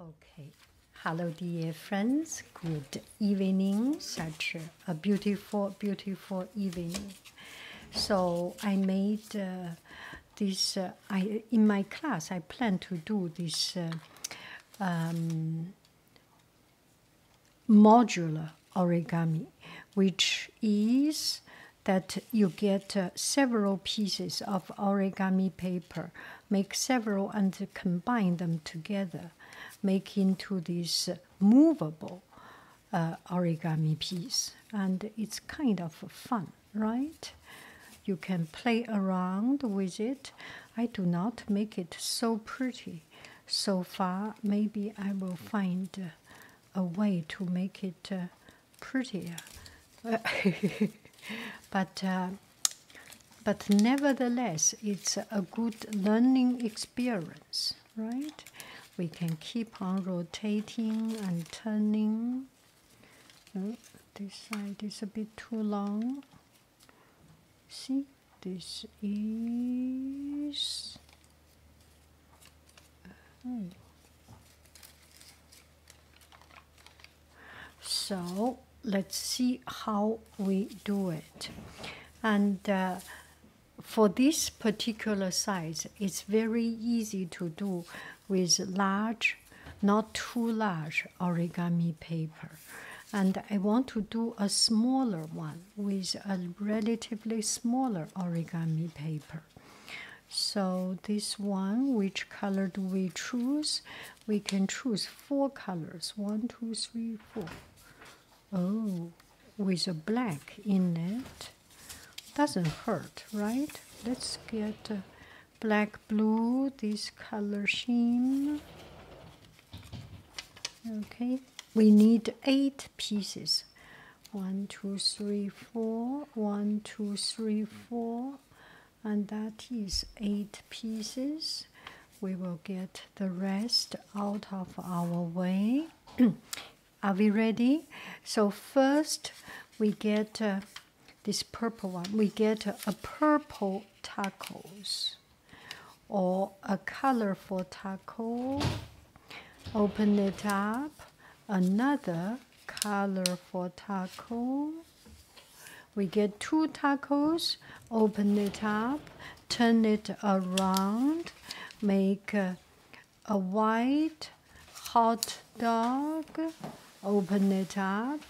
Okay. Hello, dear friends. Good evening. Such a beautiful, beautiful evening. So I made uh, this uh, I in my class I plan to do this uh, um, modular origami, which is that you get uh, several pieces of origami paper, make several and combine them together, make into this movable uh, origami piece, and it's kind of fun, right? You can play around with it. I do not make it so pretty so far. Maybe I will find a way to make it uh, prettier. but uh, but nevertheless, it's a good learning experience, right? we can keep on rotating and turning. Oh, this side is a bit too long. See, this is. Oh. So let's see how we do it. And uh, for this particular size, it's very easy to do with large, not too large origami paper. And I want to do a smaller one with a relatively smaller origami paper. So, this one, which color do we choose? We can choose four colors one, two, three, four. Oh, with a black in it doesn't hurt, right? Let's get uh, black, blue, this color scheme. Okay, we need eight pieces. One, two, three, four. One, two, three, four. And that is eight pieces. We will get the rest out of our way. Are we ready? So first we get uh, this purple one. We get a purple tacos or a colorful taco. Open it up. Another colorful taco. We get two tacos. Open it up. Turn it around. Make uh, a white hot dog, open it up,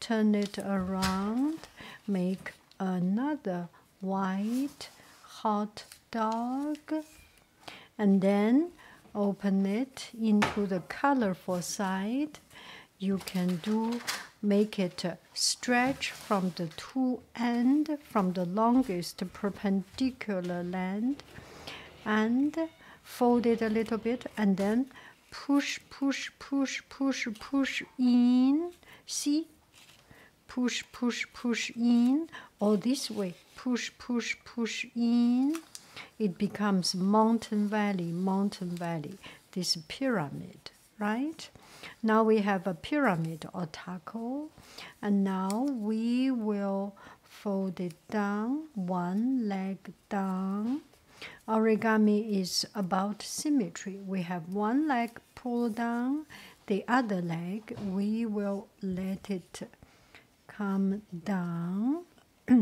turn it around, make another white hot dog, and then open it into the colorful side. You can do make it stretch from the two end from the longest perpendicular land and fold it a little bit and then push push push push push in see push push push in or this way push push push in it becomes mountain valley mountain valley this pyramid right now we have a pyramid or taco and now we will fold it down one leg down origami is about symmetry we have one leg pulled down the other leg we will let it come down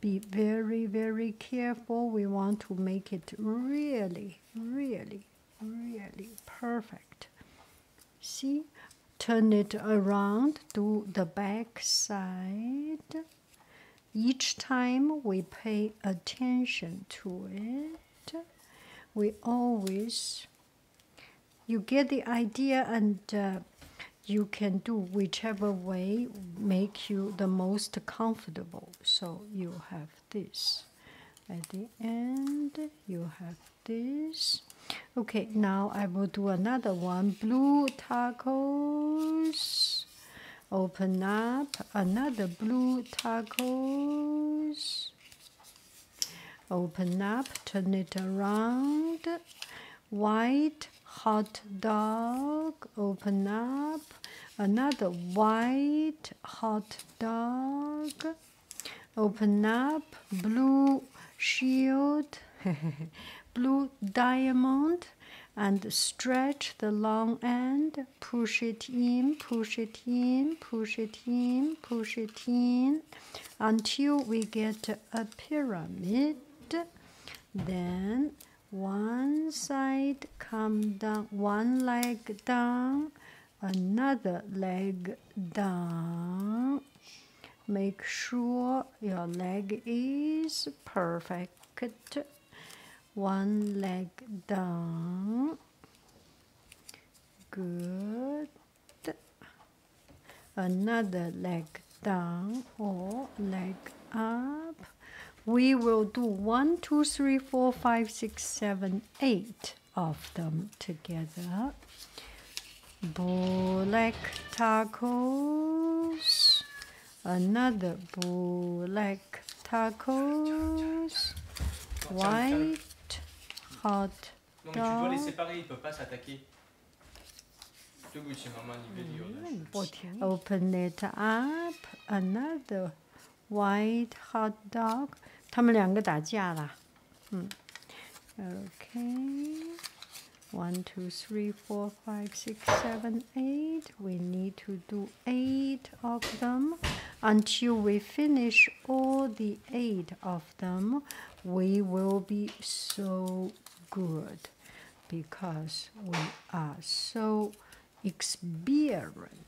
be very very careful we want to make it really really really perfect. See, turn it around, to the back side. Each time we pay attention to it, we always you get the idea and uh, you can do whichever way make you the most comfortable so you have this at the end you have this okay now i will do another one blue tacos open up another blue tacos open up turn it around white hot dog open up another white hot dog Open up blue shield, blue diamond, and stretch the long end. Push it in, push it in, push it in, push it in until we get a pyramid. Then one side come down, one leg down, another leg down make sure your leg is perfect one leg down good another leg down or leg up we will do one two three four five six seven eight of them together. Bullock tacos, another bullock tacos, white hot Non Open it up, another white hot dog. Okay, one, two, three, four, five, six, seven, eight. We need to do eight of them until we finish all the eight of them. We will be so good because we are so experienced.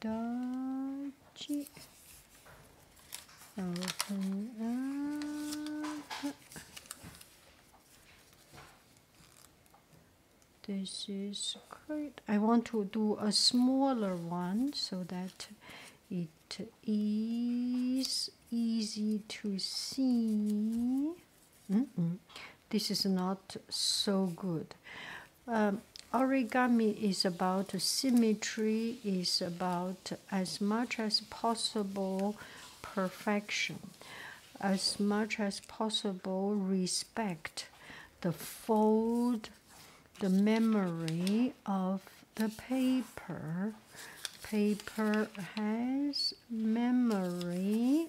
Dachi. open up. This is good. I want to do a smaller one so that it is easy to see. This is not so good. Um, origami is about symmetry, is about as much as possible perfection, as much as possible respect the fold, the memory of the paper. Paper has memory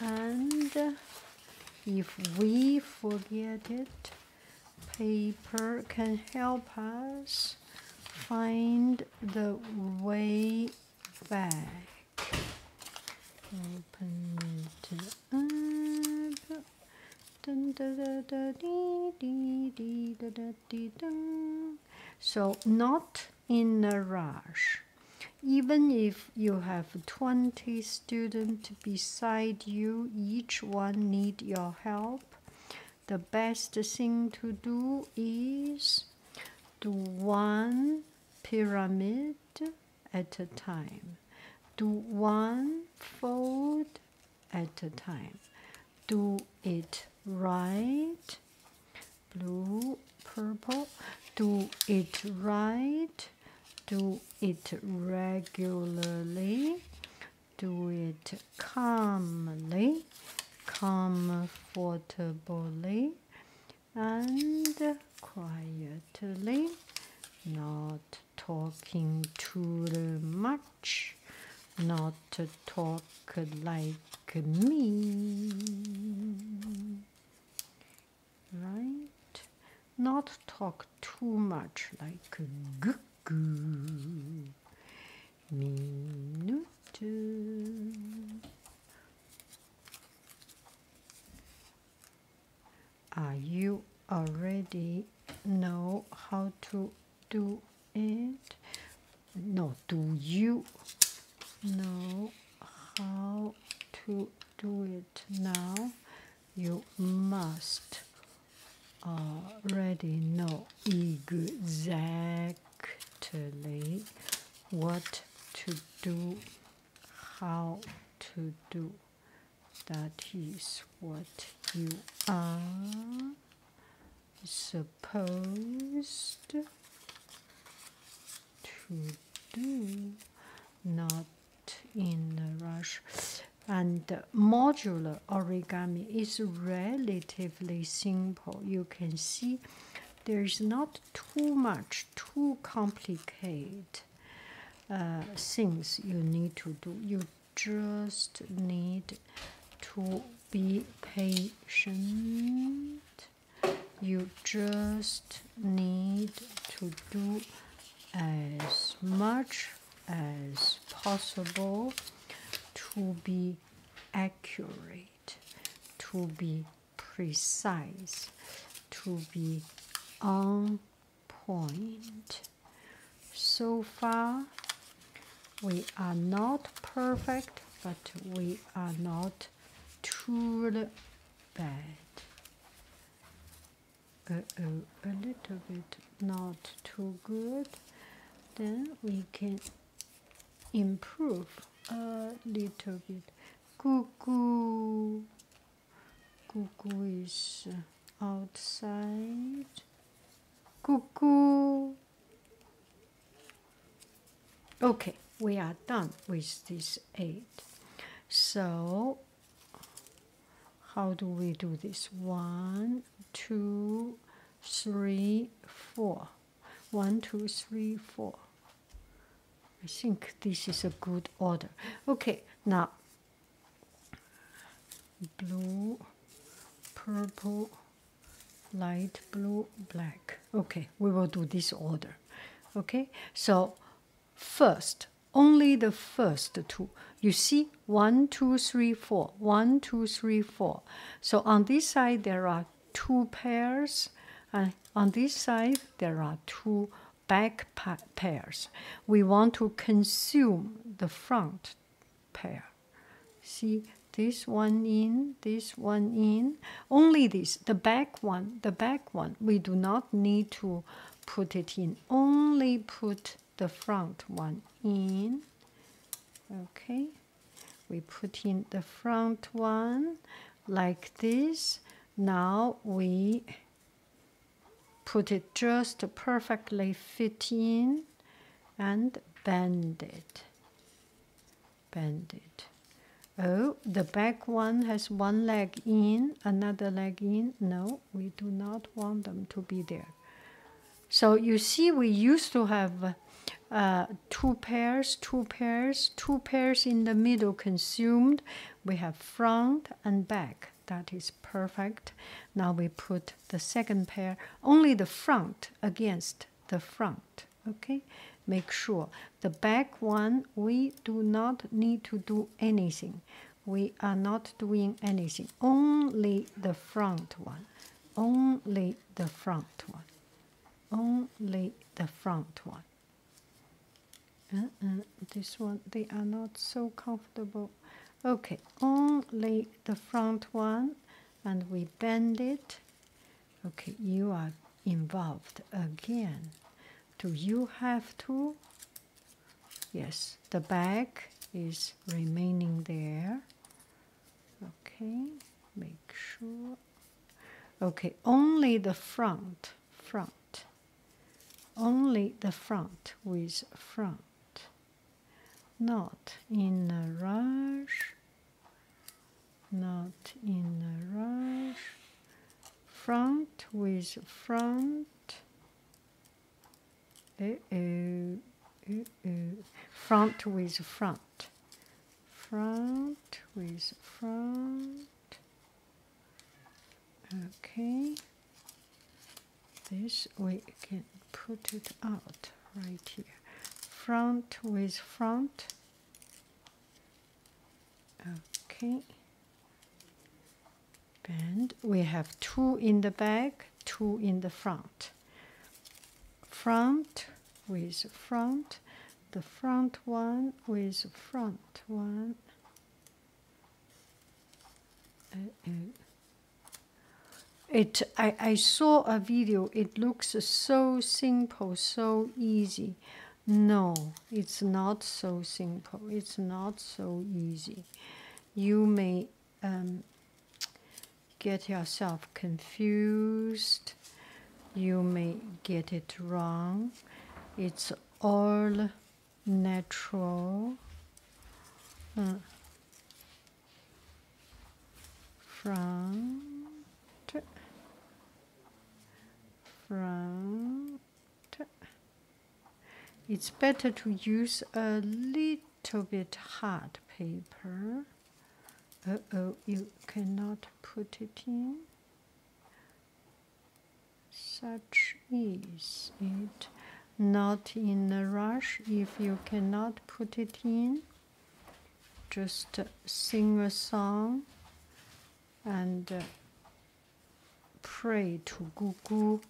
and if we forget it, paper can help us find the way back. So not in a rush. Even if you have 20 students beside you, each one need your help. The best thing to do is do one pyramid at a time. Do one fold at a time. Do it right, blue, purple. Do it right do it regularly, do it calmly, comfortably, and quietly, not talking too much, not talk like me right not talk too much like goo minute are you already know how to do it no do you know how to do it now you must already know exactly what to do, how to do. That is what you are supposed to do not in a rush. And modular origami is relatively simple. You can see there's not too much, too complicated uh, things you need to do. You just need to be patient you just need to do as much as possible to be accurate, to be precise, to be on point. So far, we are not perfect, but we are not too bad. A, uh, oh, a, little bit not too good, then we can improve a little bit. Cuckoo, cuckoo is outside. Cuckoo, Okay, we are done with this eight. So, how do we do this? One, two, three, four. One, two, three, four. I think this is a good order. Okay, now blue, purple, light blue, black. Okay, we will do this order. Okay, so first, only the first two. You see, one, two, three, four. One, two, three, four. So on this side, there are two pairs, and on this side, there are two back pairs. We want to consume the front pair. See, this one in this one in, only this, the back one, the back one. We do not need to put it in, only put the front one in. Okay, we put in the front one like this. Now we put it just perfectly fit in and bend it bandit. Oh, the back one has one leg in, another leg in. No, we do not want them to be there. So you see, we used to have uh, two pairs, two pairs, two pairs in the middle consumed. We have front and back. That is perfect. Now we put the second pair, only the front against the front okay make sure the back one we do not need to do anything we are not doing anything only the front one only the front one only the front one uh-uh. this one they are not so comfortable okay only the front one and we bend it okay you are involved again do you have to yes the back is remaining there okay make sure okay only the front front only the front with front not in a rush not in a rush front with front uh -oh, -oh. front with front front with front okay this we can put it out right here front with front Okay. and We have two in the back, two in the front. Front with front, the front one with front one. Uh, uh. It I, I saw a video. It looks so simple so easy. No, it's not so simple. It's not so easy. You may um, get yourself confused. You may get it wrong. It's all natural. Hmm front front it's better to use a little bit hard paper uh-oh you cannot put it in such is it not in a rush if you cannot put it in just sing a song and uh, pray to Gugu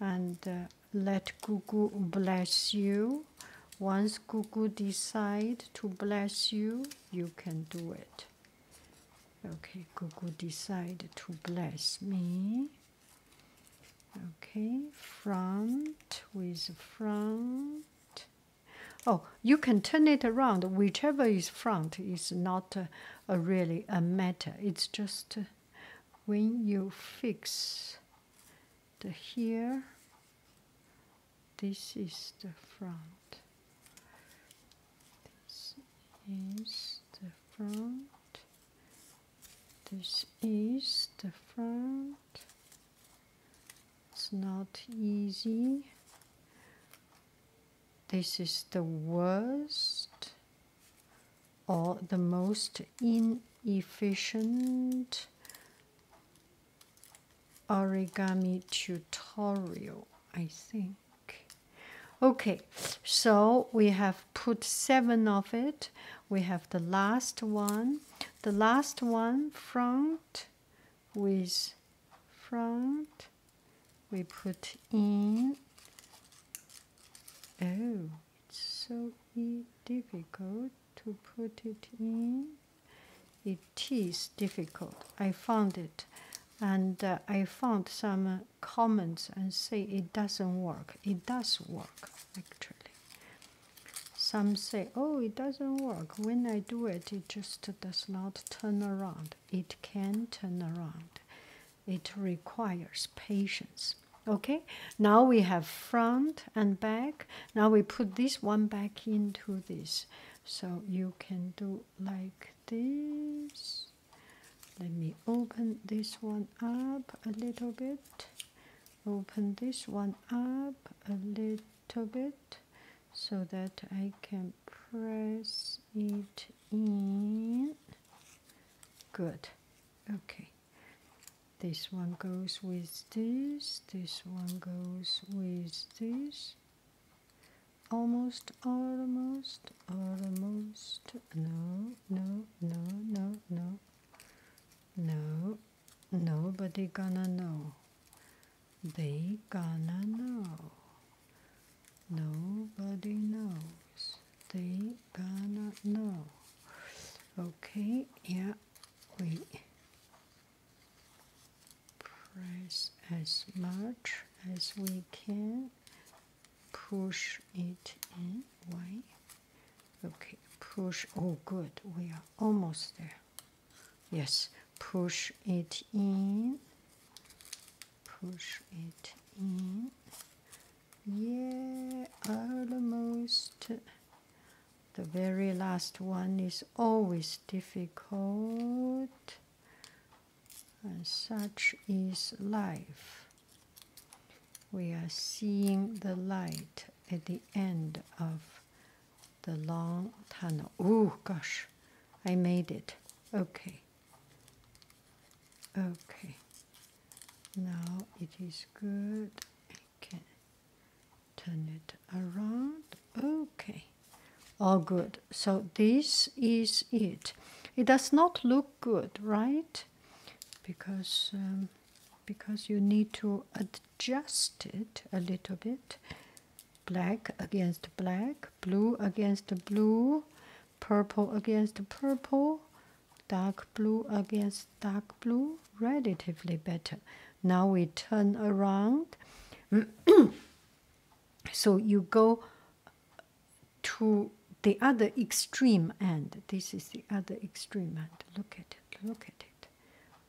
and uh, let Gugu bless you. Once Gugu decide to bless you, you can do it. Okay, Gugu decide to bless me. Okay, front with front Oh, you can turn it around. Whichever is front is not really a matter. It's just uh, when you fix the here, this is the front. This is the front. This is the front. It's not easy. This is the worst or the most inefficient origami tutorial, I think. Okay, so we have put seven of it we have the last one the last one front with front we put in oh it's so difficult to put it in it is difficult i found it and uh, i found some comments and say it doesn't work it does work actually some say, oh, it doesn't work. When I do it, it just does not turn around. It can turn around. It requires patience. Okay, now we have front and back. Now we put this one back into this. So you can do like this. Let me open this one up a little bit open this one up a little bit so that I can press it in good okay this one goes with this this one goes with this almost almost almost no no no no no no Nobody gonna know. They gonna know. Nobody knows. They gonna know. Okay, yeah, Wait. press as much as we can, push it in. Why? Okay, push. Oh, good. We are almost there. Yes, push it in. Push it in. Yeah, almost. The very last one is always difficult, and such is life we are seeing the light at the end of the long tunnel. Oh gosh, I made it. Okay. Okay. Now it is good. I can turn it around. Okay. All good. So this is it. It does not look good, right? Because um, because you need to adjust it a little bit black against black blue against blue purple against purple dark blue against dark blue relatively better now we turn around so you go to the other extreme end this is the other extreme end look at look at it,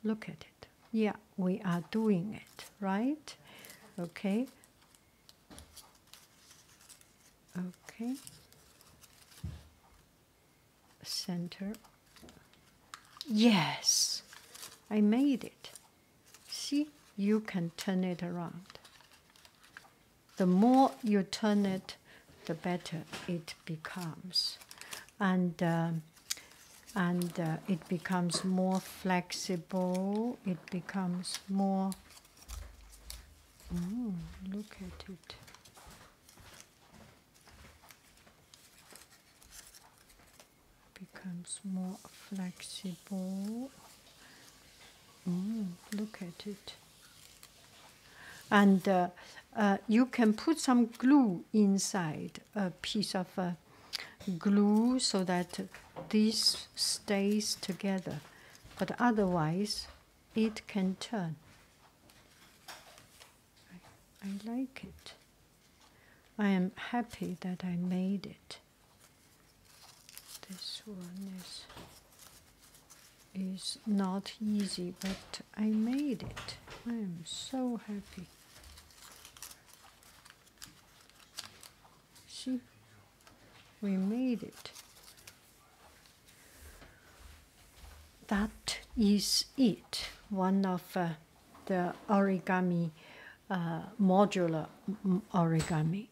look at it. Yeah, we are doing it, right? Okay. Okay. Center. Yes, I made it. See, you can turn it around. The more you turn it, the better it becomes, and um, and uh, it becomes more flexible. It becomes more. look at it. becomes more flexible. look at it. And uh, uh, you can put some glue inside a piece of uh, glue so that this stays together, but otherwise it can turn. I like it. I am happy that I made it. This one is is not easy, but I made it. I am so happy. See, we made it. That is it. One of uh, the origami, uh, modular mm, origami.